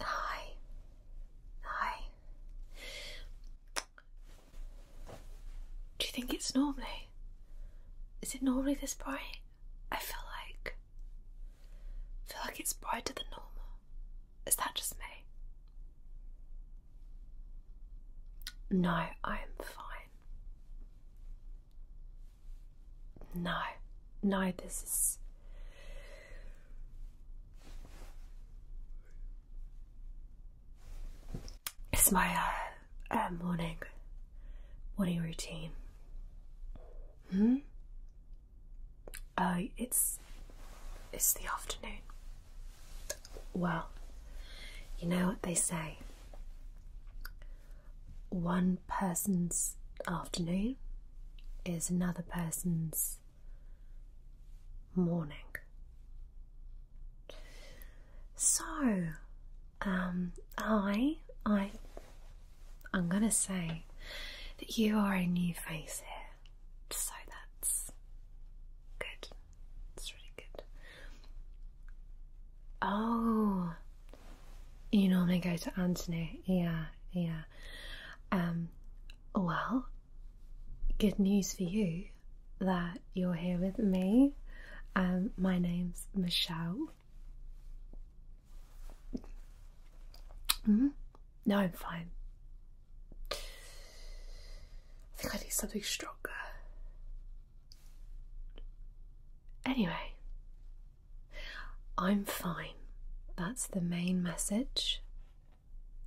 Hi. Hi. Do you think it's normally? Is it normally this bright? I feel like feel like it's brighter than normal. Is that just me? No, I'm fine. No, no, this is. It's my uh, uh, morning morning routine. Hmm? Oh, it's it's the afternoon. Well, you know what they say. One person's afternoon is another person's morning. So, um, I I I'm gonna say that you are a new face here, so that's good. It's really good. Oh, you normally go to Antony, yeah, yeah. Um, well, good news for you that you're here with me. Um, my name's Michelle. Mm No, I'm fine. I think I need something stronger. Anyway, I'm fine. That's the main message.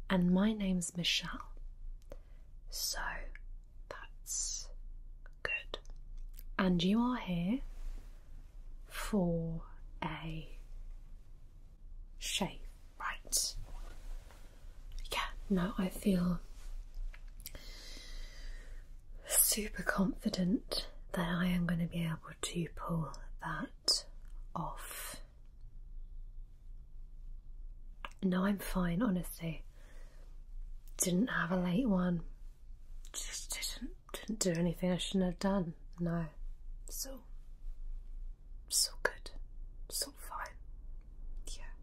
And my name's Michelle. So that's good. And you are here for a shave, right? Yeah, no, I feel super confident that I am going to be able to pull that off. No, I'm fine, honestly. Didn't have a late one, just didn't didn't do anything I shouldn't have done. No. So, so good. So fine. Yeah.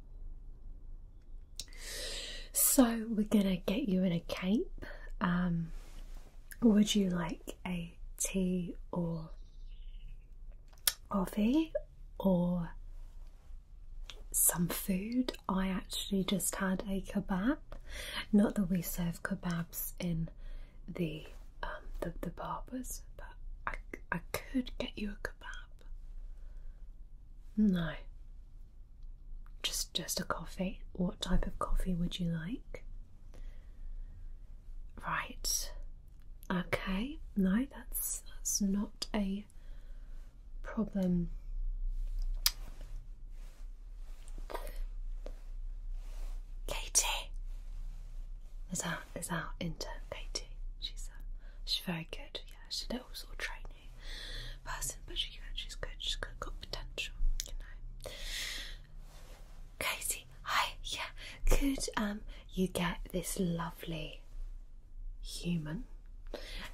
So, we're gonna get you in a cape. Um, would you like a tea or coffee or some food? I actually just had a kebab not that we serve kebabs in the um, the, the barbers, but I, I could get you a kebab. No. Just just a coffee. What type of coffee would you like? Right. Okay. No, that's that's not a problem. Katie is our is our intern Katie. She's uh, she's very good. Yeah, she's a little sort of trainee person, but she she's good. She's got, got potential, you know. Katie, hi. Yeah, could um you get this lovely human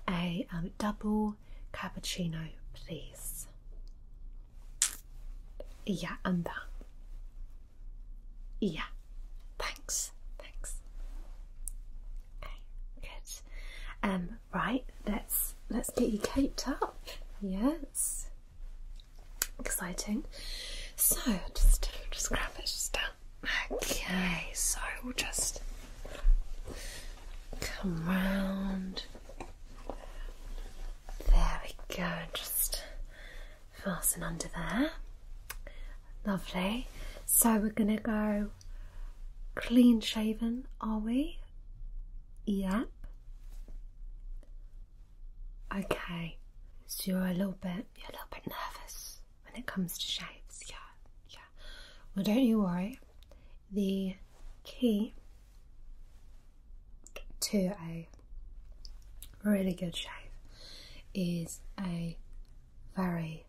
a um, double cappuccino, please? Yeah, and that. Yeah, thanks, thanks. Okay, good. Um, right, let's let's get you caked up. Yes, exciting. So just just grab it just down. Okay, so we'll just come round. There we go, just fasten under there. Lovely. So we're going to go clean shaven, are we? Yep. Okay. So you're a little bit, you're a little bit nervous when it comes to shaves, yeah, yeah. Well, don't you worry the key to a really good shave is a very,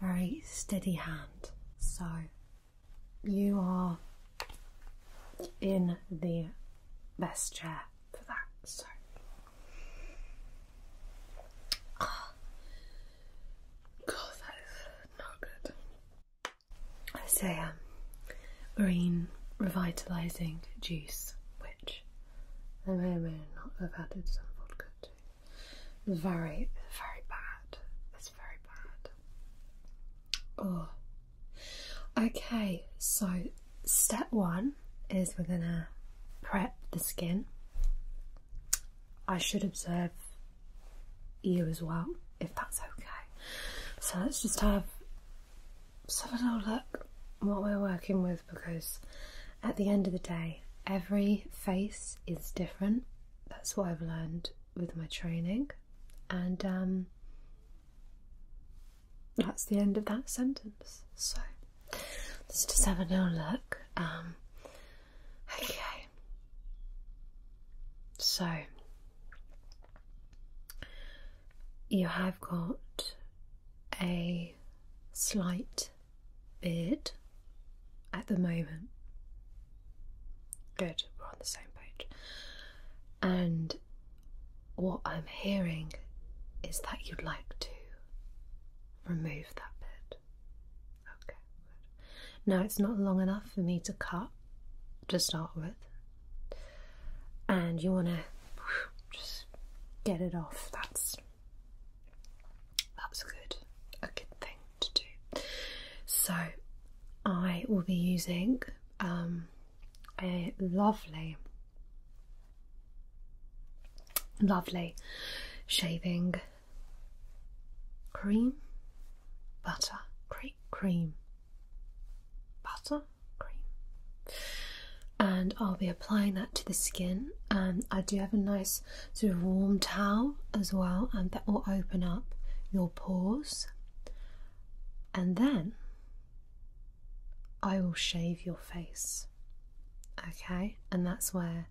very steady hand. So you are in the best chair for that. So God, that is not good. I a um, marine revitalising juice, which I may or may not have added some vodka to. Very, very bad. It's very bad. Oh. Okay, so step one is we're gonna prep the skin. I should observe you as well, if that's okay. So let's just have, have a little look what we're working with because at the end of the day, every face is different. That's what I've learned with my training. And um, that's the end of that sentence. So let's just have a little look. Um, okay. So you have got a slight beard at the moment. Good, we're on the same page. And what I'm hearing is that you'd like to remove that bit. Okay, Now it's not long enough for me to cut to start with, and you want to just get it off, that's that's good, a good thing to do. So I will be using um, a lovely, lovely shaving cream, butter cream cream, butter cream, and I'll be applying that to the skin. And I do have a nice sort of warm towel as well, and that will open up your pores. And then I will shave your face. Okay, and that's where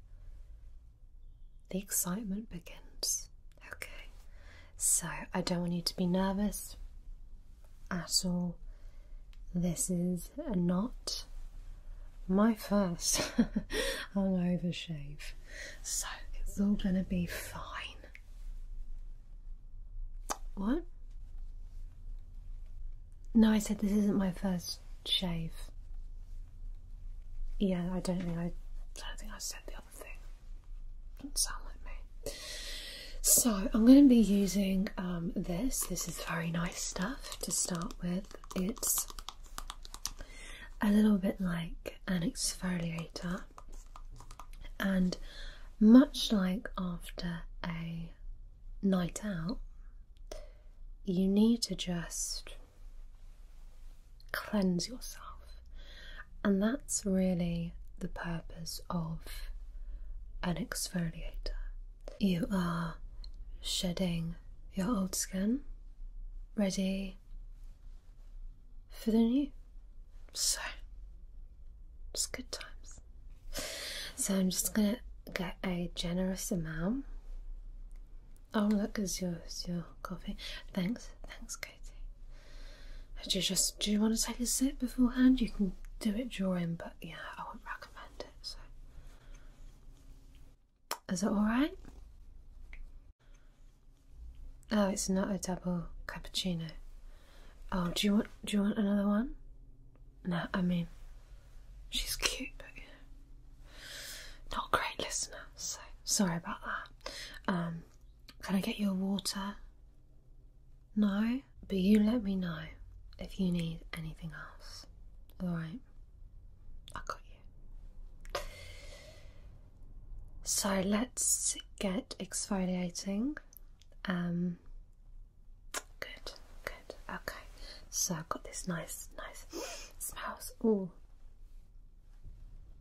the excitement begins. Okay. So I don't want you to be nervous at all. This is not my first hungover shave, so it's all gonna be fine. What? No, I said this isn't my first shave. Yeah, I don't think I, I don't think I said the other thing. Doesn't sound like me. So I'm going to be using um, this. This is very nice stuff to start with. It's a little bit like an exfoliator, and much like after a night out, you need to just cleanse yourself and that's really the purpose of an exfoliator. You are shedding your old skin, ready for the new. So, it's good times. So, I'm just gonna get a generous amount. Oh, look, is yours your coffee? Thanks, thanks, do you just do you want to take a sip beforehand? You can do it during, but yeah, I would not recommend it. So, is it all right? Oh, it's not a double cappuccino. Oh, do you want do you want another one? No, I mean, she's cute, but you not a great listener. So sorry about that. Um, can I get your water? No, but you let me know if you need anything else. Alright? I got you. So let's get exfoliating. Um, good, good. Okay. So I've got this nice, nice smells. Oh,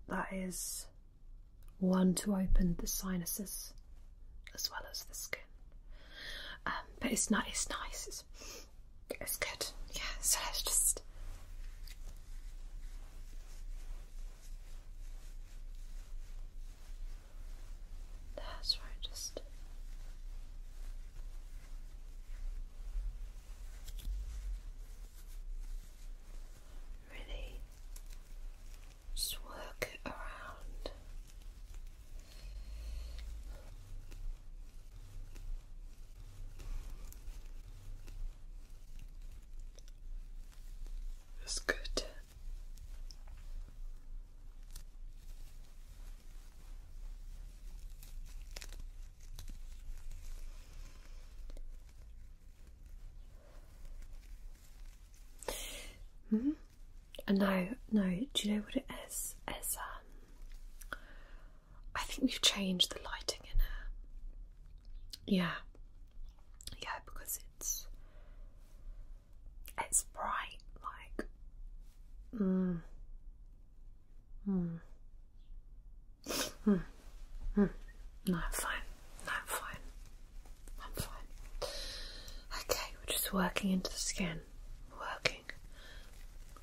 That is one to open the sinuses as well as the skin. Um, but it's nice. It's nice. It's, good. Yeah. So let's just. That's right. Just. Really just work it around. That's good. Mm -hmm. No, no. Do you know what it is? Is um, I think we've changed the lighting in her. Yeah, yeah, because it's it's bright, like. Mm. Mm. Mm. Mm. No, I'm fine. No, I'm fine. I'm fine. Okay, we're just working into the skin. Working.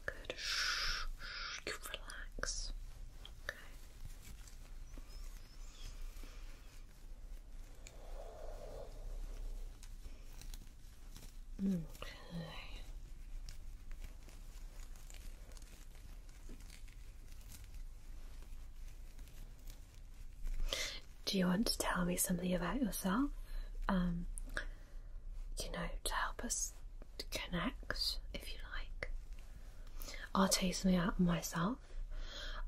Good. Shh, shh, you relax. Okay. Mm, okay. Do you want to tell me something about yourself? Um, you know, to help us connect, if you like. I'll tell you something about myself.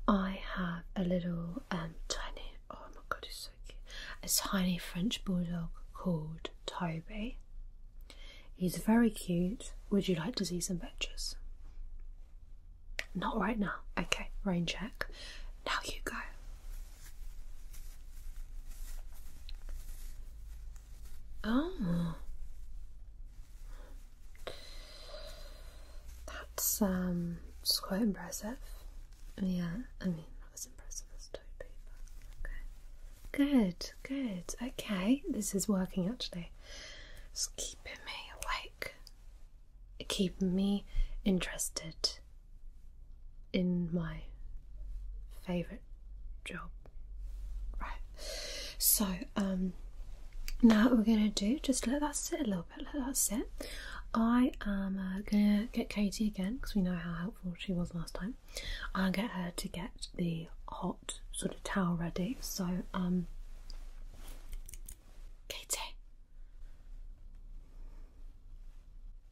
I have a little um, tiny, oh my god, he's so cute, a tiny French bulldog called Toby. He's very cute. Would you like to see some pictures? Not right now. Okay, rain check. Now you go. Oh. That's um it's quite impressive. Yeah, I mean not as impressive as Toby, but okay. Good, good. Okay, this is working actually. It's keeping me awake keep me interested in my favorite job. Right. So, um, now we're gonna do, just let that sit a little bit, let that sit. I am uh, gonna get Katie again because we know how helpful she was last time. I'll get her to get the hot sort of towel ready. So, um, Katie.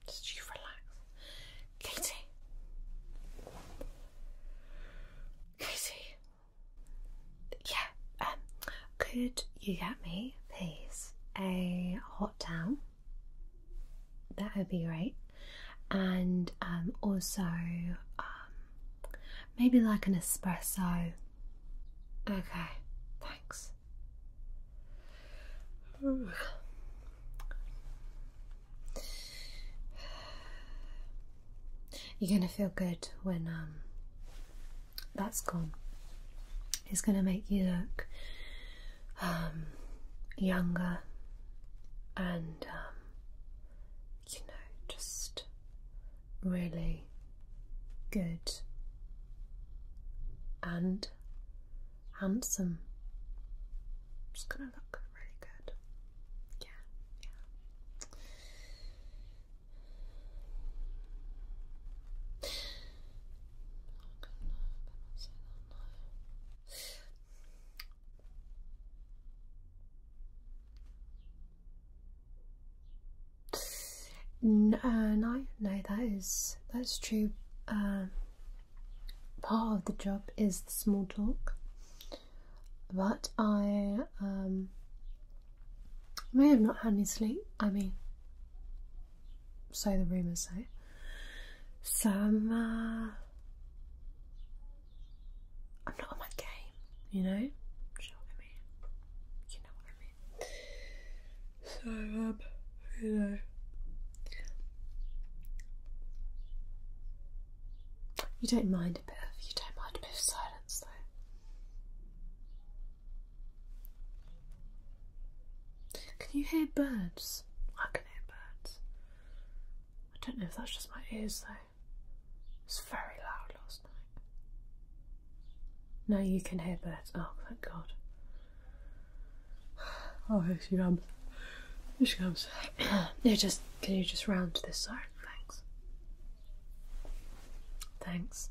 Just you relax. Katie. Katie. Yeah, um, could you get me, please, a hot towel? That would be great. And um, also um, Maybe like an espresso. Okay, thanks. You're going to feel good when um, that's gone. It's going to make you look um, younger and, um, you know, just really good and handsome. Just gonna look really good. Yeah, yeah. Uh, no, no, that is that's true. Um, part of the job is the small talk, but um, I may have not had any sleep. I mean, so the rumours say. So I'm, uh, I'm not on my game you know? you know what I mean. So, um, you know. You don't mind a bit of, you don't mind a bit of silence though. Can you hear birds? I can hear birds. I don't know if that's just my ears though. It's very loud, lots no, you can hear Bert. Oh, thank God. Oh, here she comes. Here she comes. you just can you just round to this side? Thanks. Thanks.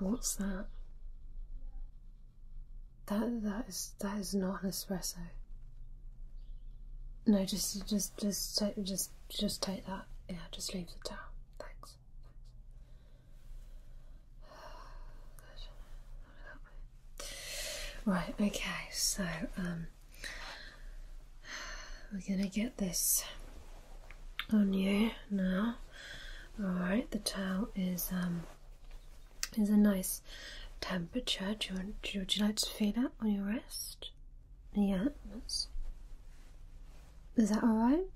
What's that? That that is that is not an espresso. No, just just just just just take that yeah, just leave the towel. Thanks. Right, okay, so um, we're gonna get this on you now. Alright, the towel is um is a nice temperature. would you like to feel that on your wrist? Yeah, Is that alright?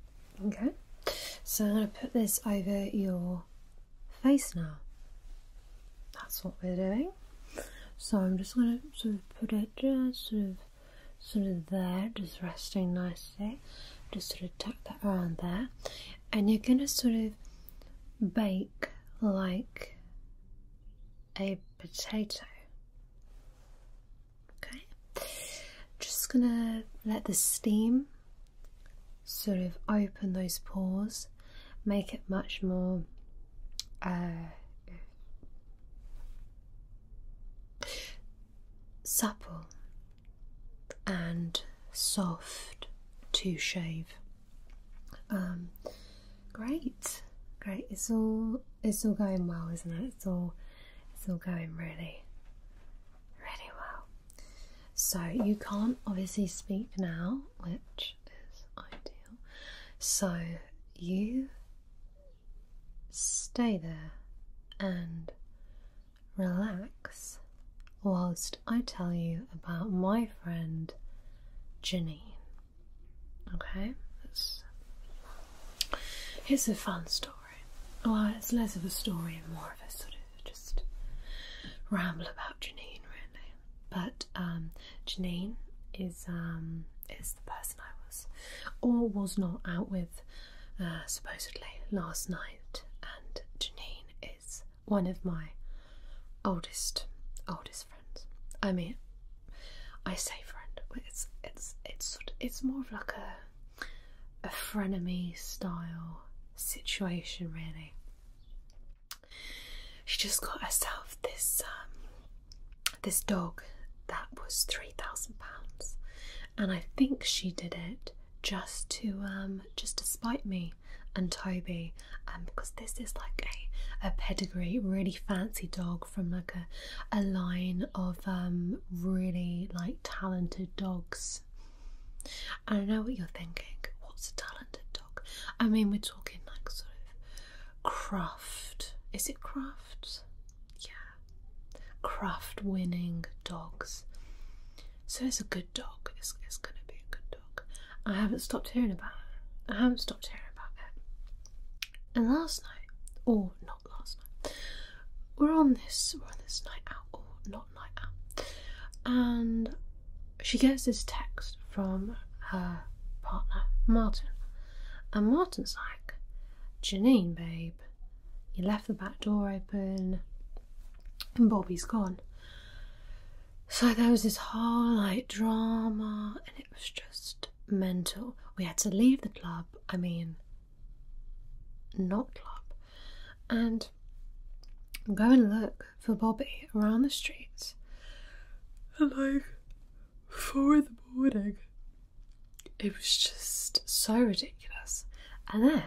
Okay. So I'm going to put this over your face now. That's what we're doing. So I'm just going to sort of put it just sort of, sort of there, just resting nicely. Just sort of tuck that around there. And you're going to sort of bake like a potato. Okay, just gonna let the steam sort of open those pores, make it much more uh, supple and soft to shave. Um, Great, great. It's all it's all going well, isn't it? It's all it's all going really, really well. So you can't obviously speak now, which is ideal. So you stay there and relax whilst I tell you about my friend Janine. Okay, that's it's a fun story. Well, it's less of a story and more of a sort of just ramble about Janine, really. But um, Janine is um, is the person I was or was not out with uh, supposedly last night, and Janine is one of my oldest oldest friends. I mean, I say friend. It's it's it's it's more of like a a frenemy style situation, really. She just got herself this um, this dog that was three thousand pounds, and I think she did it just to um, just to spite me and Toby, um because this is like a a pedigree really fancy dog from like a, a line of um, really like talented dogs. And I know what you're thinking. What's a talented dog? I mean, we're talking like sort of craft. Is it craft? Yeah, craft winning dogs. So it's a good dog. It's, it's going to be a good dog. I haven't stopped hearing about it. I haven't stopped hearing about it. And last night, or not last night, we're on this we're on this night out or not night out, and she gets this text from her partner Martin, and Martin's like, Janine, babe, you left the back door open, and Bobby's gone. So there was this whole like drama, and it was just mental. We had to leave the club, I mean, not club, and go and look for Bobby around the streets. And like, four in the morning, it was just so ridiculous. And then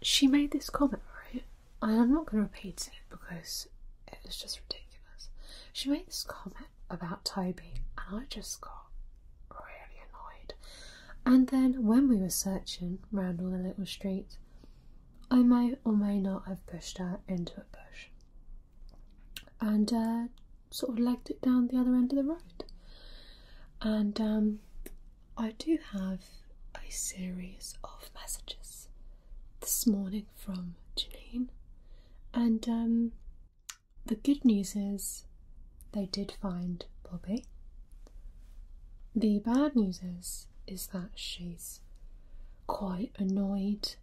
she made this comment, right? I'm not going to repeat it because it was just ridiculous. She made this comment about Toby, and I just got really annoyed. And then when we were searching round all the little streets, I may or may not have pushed her into a bush and uh, sort of legged it down the other end of the road. And um, I do have a series of messages this morning from Janine, and um, the good news is they did find Bobby. The bad news is is that she's quite annoyed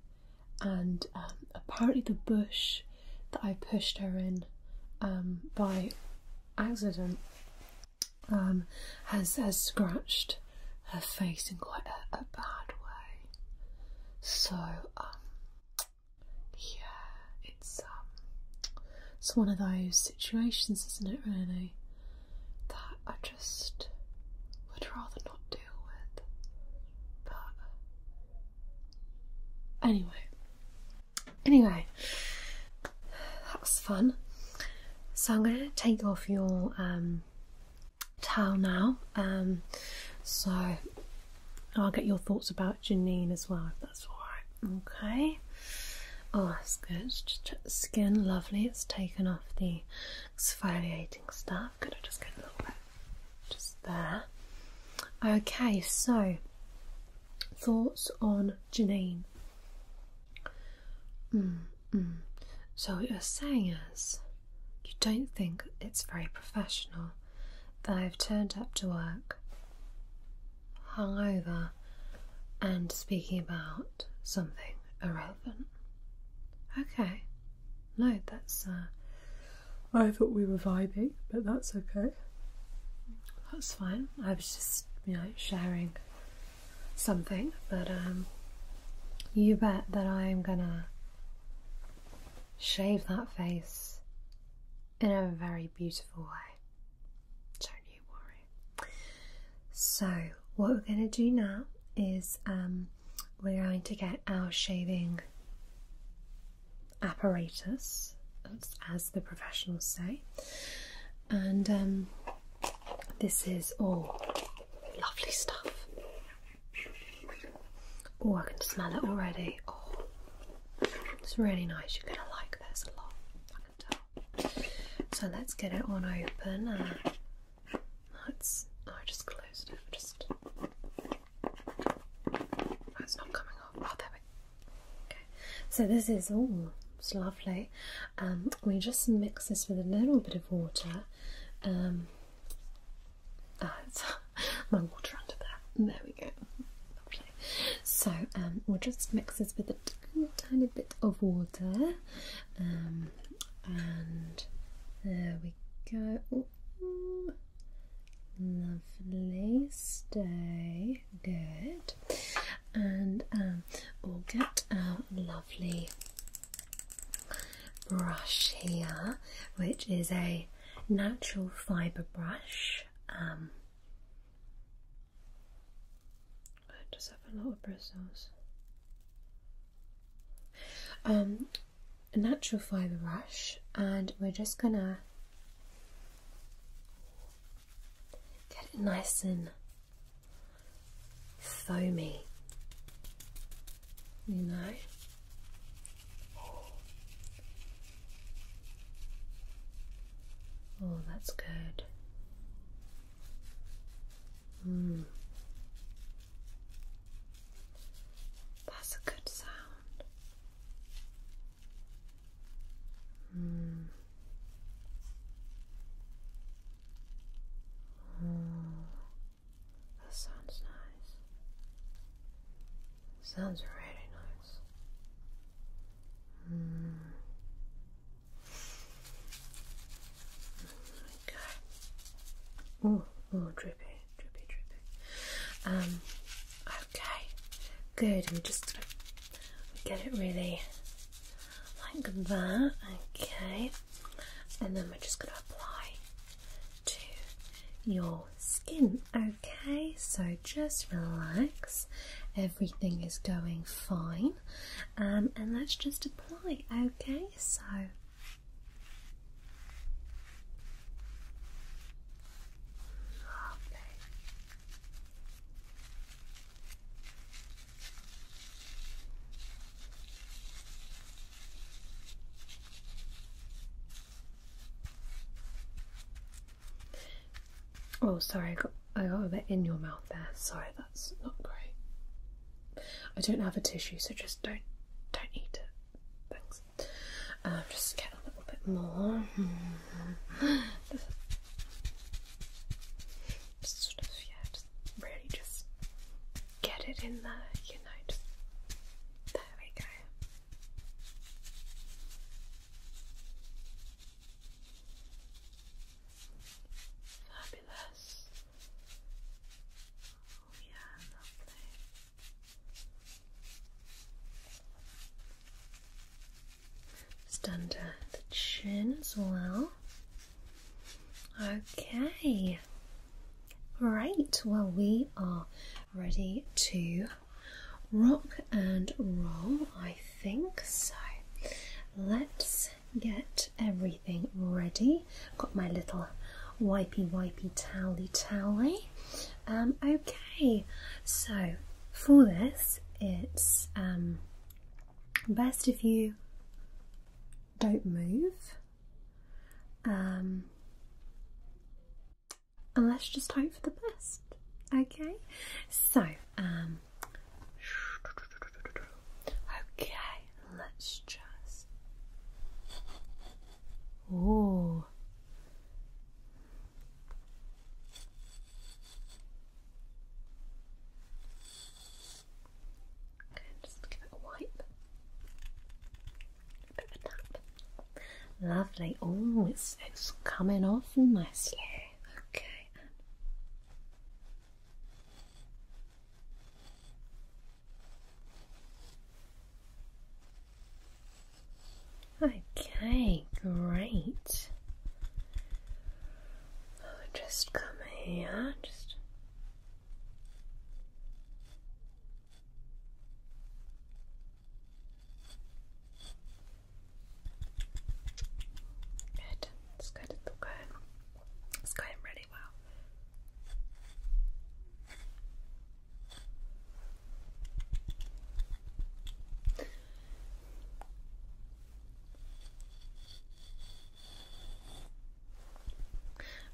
and um, apparently the bush that I pushed her in um, by accident um, has has scratched her face in quite a, bad way. So yeah, it's um, it's one of those situations, isn't it? Really, that I just would rather not deal with. But anyway, anyway, that was fun. So I'm going to take off your um towel now. Um, so I'll get your thoughts about Janine as well, if that's alright. Okay. Oh, that's good. Just skin, lovely. It's taken off the exfoliating stuff. Could I just get a little bit just there? Okay, so thoughts on Janine. Mm, mm. So what you're saying is you don't think it's very professional that I've turned up to work hung over, and speaking about something irrelevant. Okay. No, that's. Uh, I thought we were vibing, but that's okay. That's fine. I was just, you know, sharing something, but um, you bet that I am gonna shave that face in a very beautiful way. Don't you worry. So, what we're going to do now is um, we're going to get our shaving apparatus, as the professionals say, and um, this is all lovely stuff. Oh, I can smell it already. Oh, it's really nice. You're gonna like this a lot. I can tell. So let's get it on open. let's. Oh, I just closed it. Just. Oh, it's not coming off. Oh, there we. Okay. So this is all. It's lovely. Um, we just mix this with a little bit of water. Um, uh, my water under there. There we go. Lovely. So um, we'll just mix this with a tiny, bit of water. Um, and there we go. Lovely. Stay good. And um, we'll get our lovely brush here, which is a natural fibre brush. Um, I have a lot of bristles. Um, natural fibre brush, and we're just gonna get it nice and foamy you know. Oh, that's good. Hmm. That's a good sound. Hmm. Oh, that sounds nice. Sounds really nice. Hmm. Okay. Oh, oh, drippy, drippy, drippy. Um, okay, good. we am just gonna get it really like that. Okay, and then we're just gonna apply to your skin. Okay, so just relax, everything is going fine, um, and let's just apply. Okay, so. Lovely. Oh, sorry, I got, a bit in your mouth there. Sorry, that's not great. I don't have a tissue, so just don't don't eat it. Thanks. Um, just get a little bit more. really just get it in there, you know. Just, there we go. Fabulous. Oh yeah, lovely. Just under the chin as well. Okay. Right, well we are ready to rock and roll, I think. So let's get everything ready. Got my little wipey wipey towely towely. Um, okay, so for this, it's um, best if you don't move. Um, and let's just hope for the best. Okay, so um, okay, let's just. Oh. Okay, just give it a wipe. Lovely. Oh, it's it's coming off nicely. Okay. Okay, great. just come here, just Good. Let's go to the go. Let's go and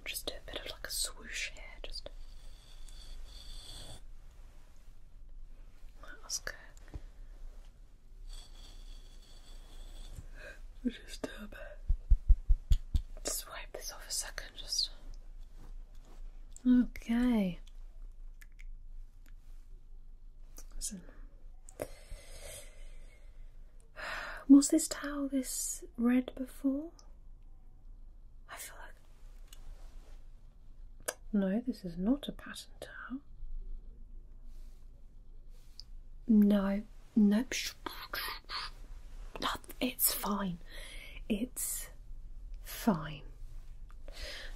Just do a bit of like a swoosh here, just that was good. we just wipe this off a second, just okay. Listen. Was this towel this red before? I feel like. No, this is not a pattern towel. No, no. It's fine. It's fine.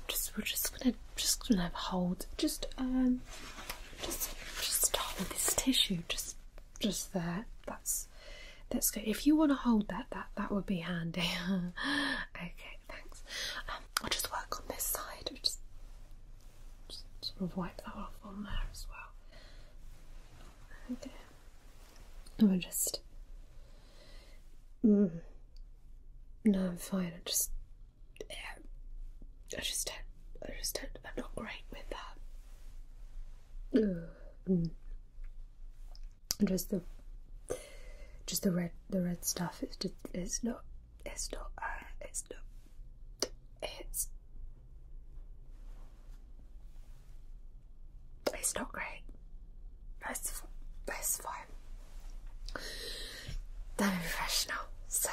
Just we're just gonna just gonna hold just um just just hold this tissue just just there. That's that's that's good. If you want to hold that, that that would be handy. okay, thanks. Um, I'll just work on this side. I'll just, sort of wipe that off on there as well. Okay. And we'll just. Mm. No, I'm fine. I just, I just don't. I just don't. I'm not great with that. Mm just the just the red the red stuff it's just it's not it's not uh, it's not it's it's not great that's that's fine that professional so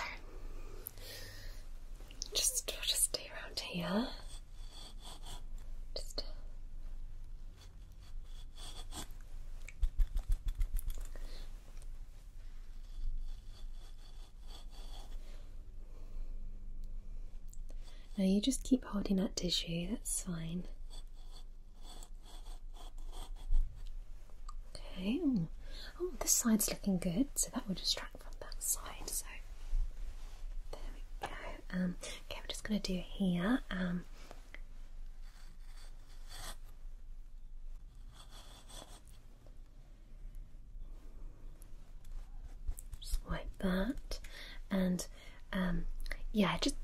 just we'll just stay around here just now you just keep holding that tissue, that's fine. Okay, oh, this side's looking good, so that will distract from that side. So there we go. Um, okay, we're just going to do here. Um, just like that, and um, yeah, just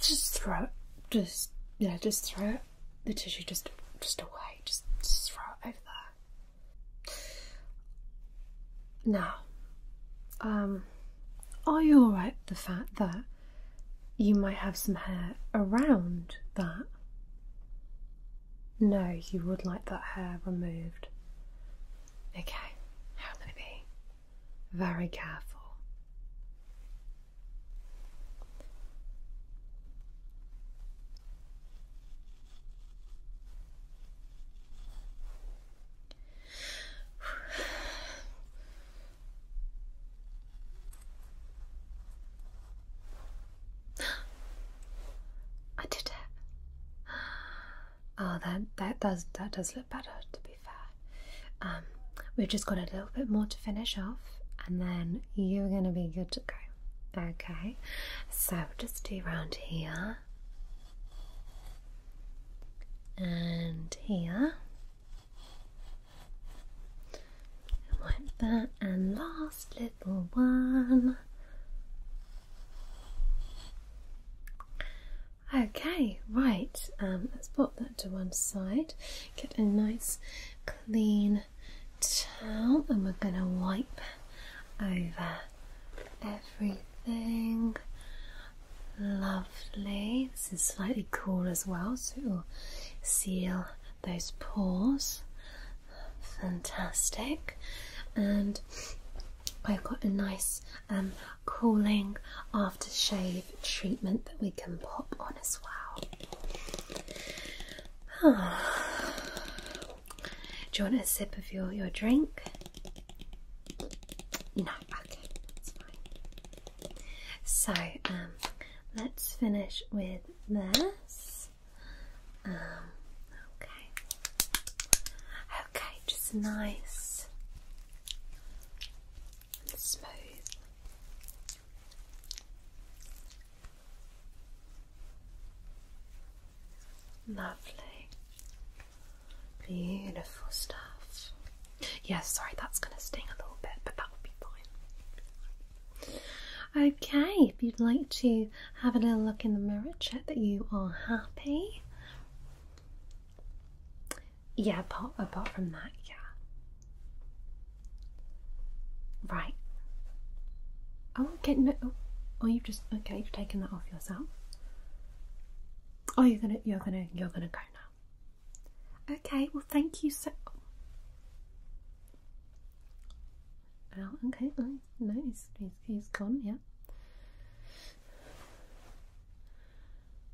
just throw it, just yeah, just throw it, the tissue just just away, just, just throw it over there. Now, um, are you alright with the fact that you might have some hair around that? No, you would like that hair removed. Okay, I'm going to be very careful. I did it. Oh, that that does that does look better. To be fair, um, we've just got a little bit more to finish off, and then you're gonna be good to go. Okay, so just do around here and here. Like that, and last little one. Okay, right, um, let's pop that to one side, get a nice clean towel, and we're going to wipe over everything. Lovely. This is slightly cool as well, so it will seal those pores. Fantastic. And I've got a nice um, cooling aftershave treatment that we can pop on as well. Oh. Do you want a sip of your, your drink? No, I so, um, let's finish with this. Um, okay. Okay, just nice smooth. Lovely. Beautiful stuff. Yes, sorry, that's going to sting a little bit, but that will be fine. Okay, if you'd like to have a little look in the mirror, check that you are happy. Yeah, apart, apart from that, yeah. Right. Oh, get oh, oh, you've just okay. You've taken that off yourself. Oh, you're gonna, you're gonna, you're gonna go now. Okay, well, thank you so. Oh, okay, Nice. no, he's gone, yeah.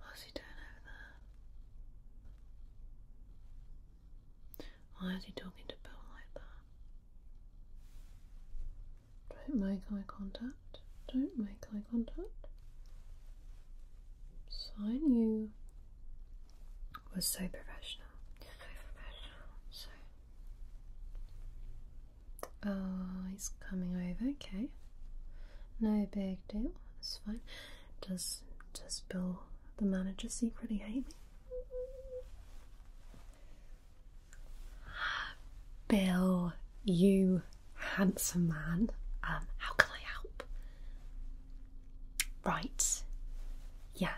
What's he doing over there? Why is he talking to Bill like that? Don't make eye contact. Don't make eye contact. Sign you was so professional. So professional. So. Oh, he's coming over. Okay. No big deal. It's fine. Does does Bill the manager secretly hate me? Bill, you handsome man. Um, how can I help? Right. Yeah.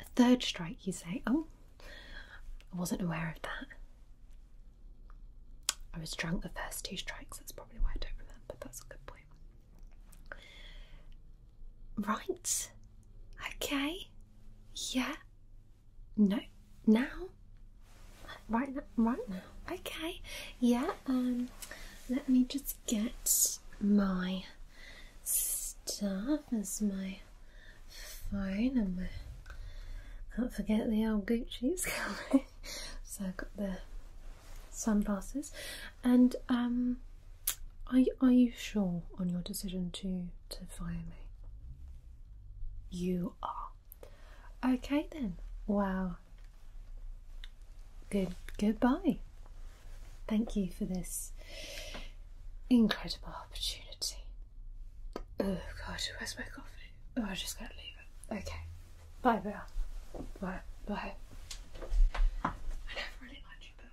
A third strike, you say? Oh, I wasn't aware of that. I was drunk the first two strikes, that's probably why I don't remember. That's a good point. Right. Okay. Yeah. No, now, right now, right now. Okay, yeah. Um, let me just get my stuff as my phone and my. Can't forget the old Gucci's coming. so I've got the sunglasses, and um, are are you sure on your decision to to fire me? You are. Okay then. Wow. Good goodbye. Thank you for this incredible opportunity. Oh god, where's my coffee? Oh I just gotta leave it. Okay. Bye Bill. Bye bye. I never really liked you, Bill.